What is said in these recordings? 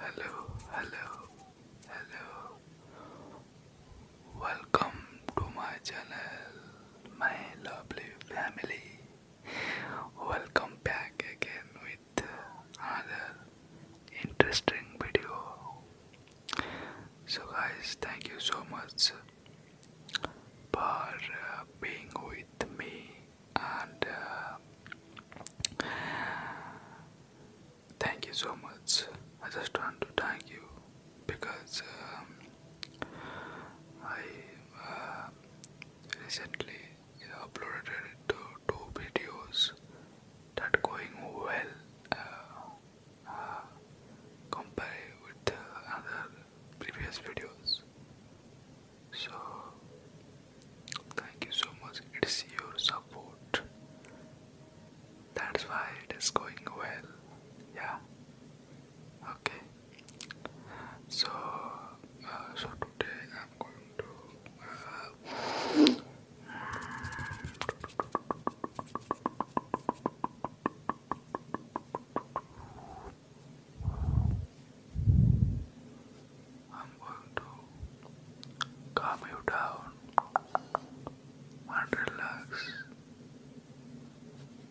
Hello, hello, hello. Welcome to my channel, my lovely family. Welcome back again with another interesting video. So, guys, thank you so much for uh, being with me and uh, thank you so much. I just want to thank you because um, I uh, recently uploaded two, videos that going well uh, uh with other previous videos. So, thank you so much. It's your support. That's why it is going well. Yeah. Okay. So, uh, so today I'm going to. Uh, I'm going to calm you down relax.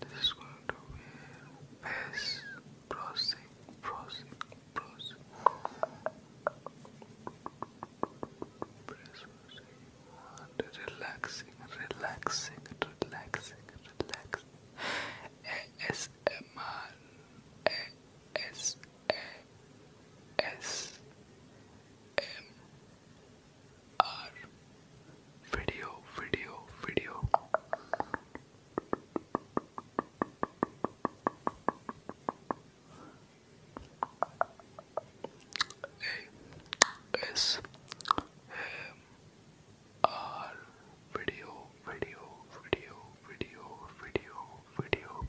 This is going to be face processing, processing, processing. And relaxing, relaxing, relaxing, relaxing. ASMR eh, S M A S A S M R video video video A S M our video, video, video, video, video, video.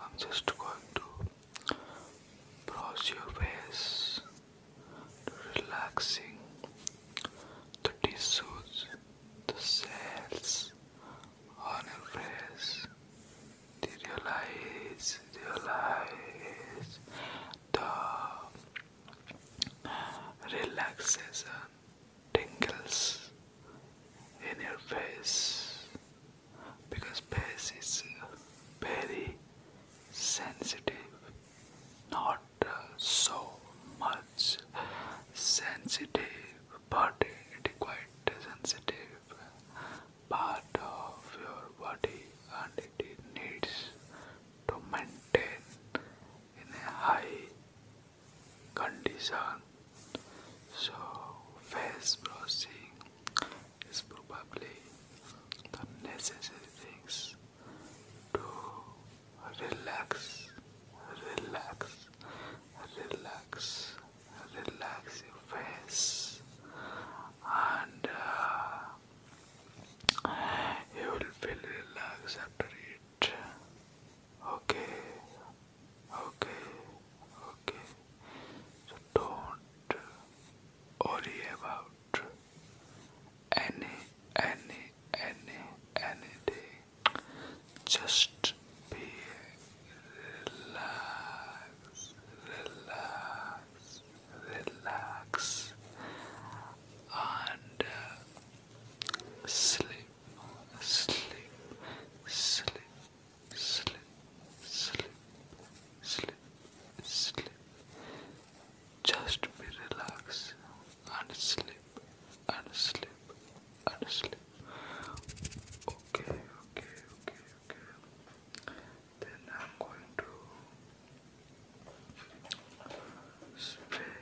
I'm just going to brush your face to relaxing the tissues, the cells honor press. Realize, realize the relaxation tingles in your face because face is very sensitive, not so much sensitive, but it is quite sensitive part of your body and it needs to maintain in a high condition. So face brushing is probably the necessary things to relax, relax, relax relax your face and uh, you will feel relaxed after it. Okay, okay, okay. don't worry about any, any, any, anything. Just relax, relax, relax, and sleep, sleep, sleep, sleep, sleep, sleep, sleep. Just be relaxed and sleep, and sleep, and sleep. Okay, okay, okay, then I'm going to spray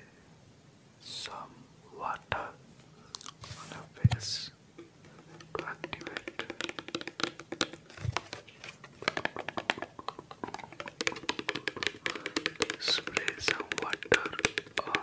some water on your face to activate. Spray some water on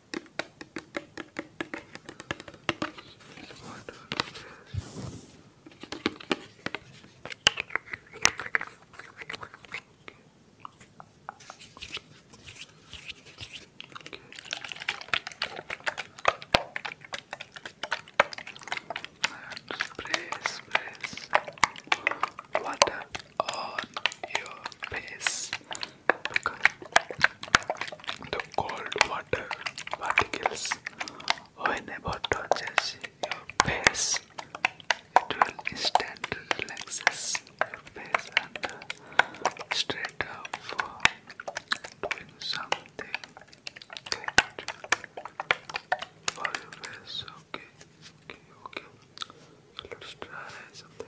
Place, place water on your face. The cold water particles, whenever touches your face, it will instantly relaxes your face and uh, straight up for doing something for your face. Okay, okay, okay. Let's try something.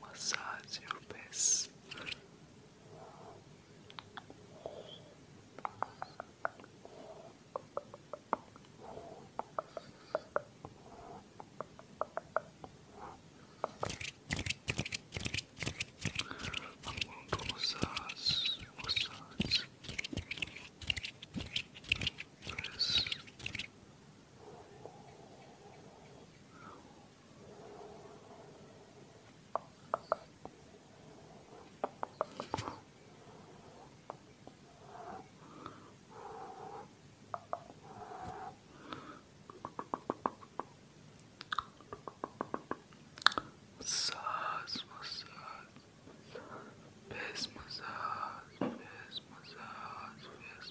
massage your face. I'm to massage, massage. Massage, massage, face massage, face massage, face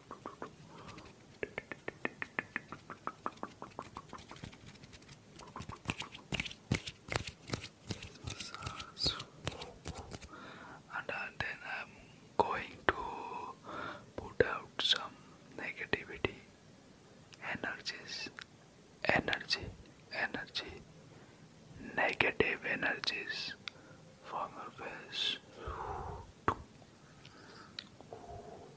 and uh, then I'm going to put out some negativity energies energy energy negative energies from your face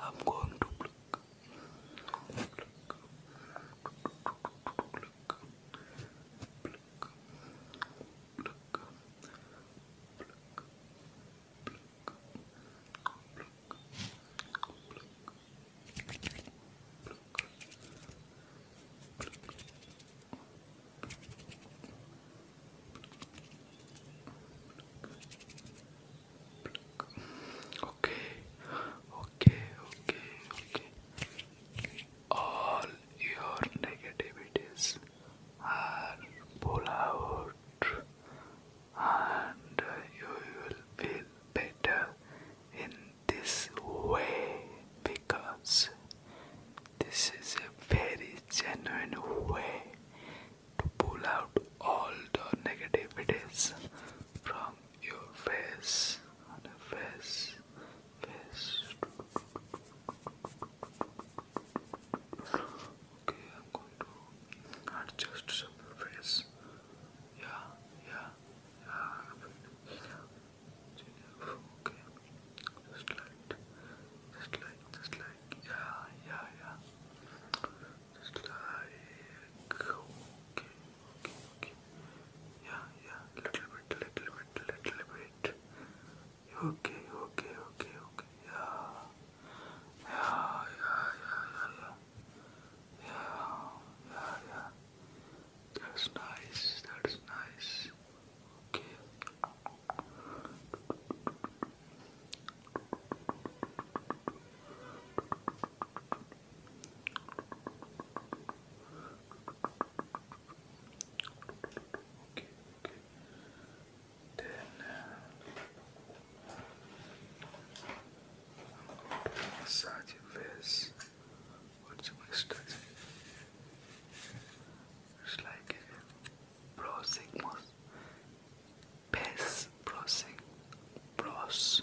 I'm going to pluck. Okay, okay, okay, okay. All your negativities and pull out and you will feel better in this way because this is a very genuine way to pull out all the negativities from your face and face face Okay, I'm going to adjust some face. Yeah, yeah, yeah. Okay, just like, just like, just like, yeah, yeah, yeah. Just like, okay, okay, okay. Yeah, yeah, little bit, little bit, little bit. Okay, okay, okay, okay. Yeah. Yeah, yeah, yeah, yeah, yeah. Yeah, yeah, yeah. That's nice, that's nice. Okay. Okay, okay. Then massage your face. you my stretch? It's like browsing, face browsing, brows.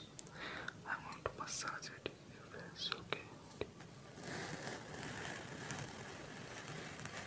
I'm to massage it your face, okay?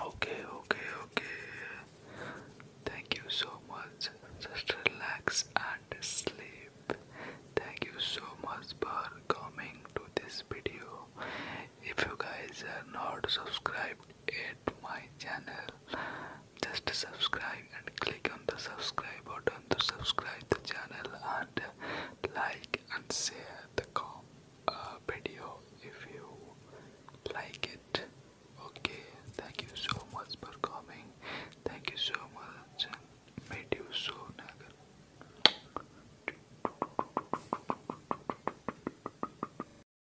Okay, okay, okay. Thank you so much. Just relax and sleep. Thank you so much for coming to this video. If you guys are not subscribed at my channel just subscribe and click on the subscribe button to subscribe the channel and like and share the com uh, video if you like it okay thank you so much for coming thank you so much and meet you soon again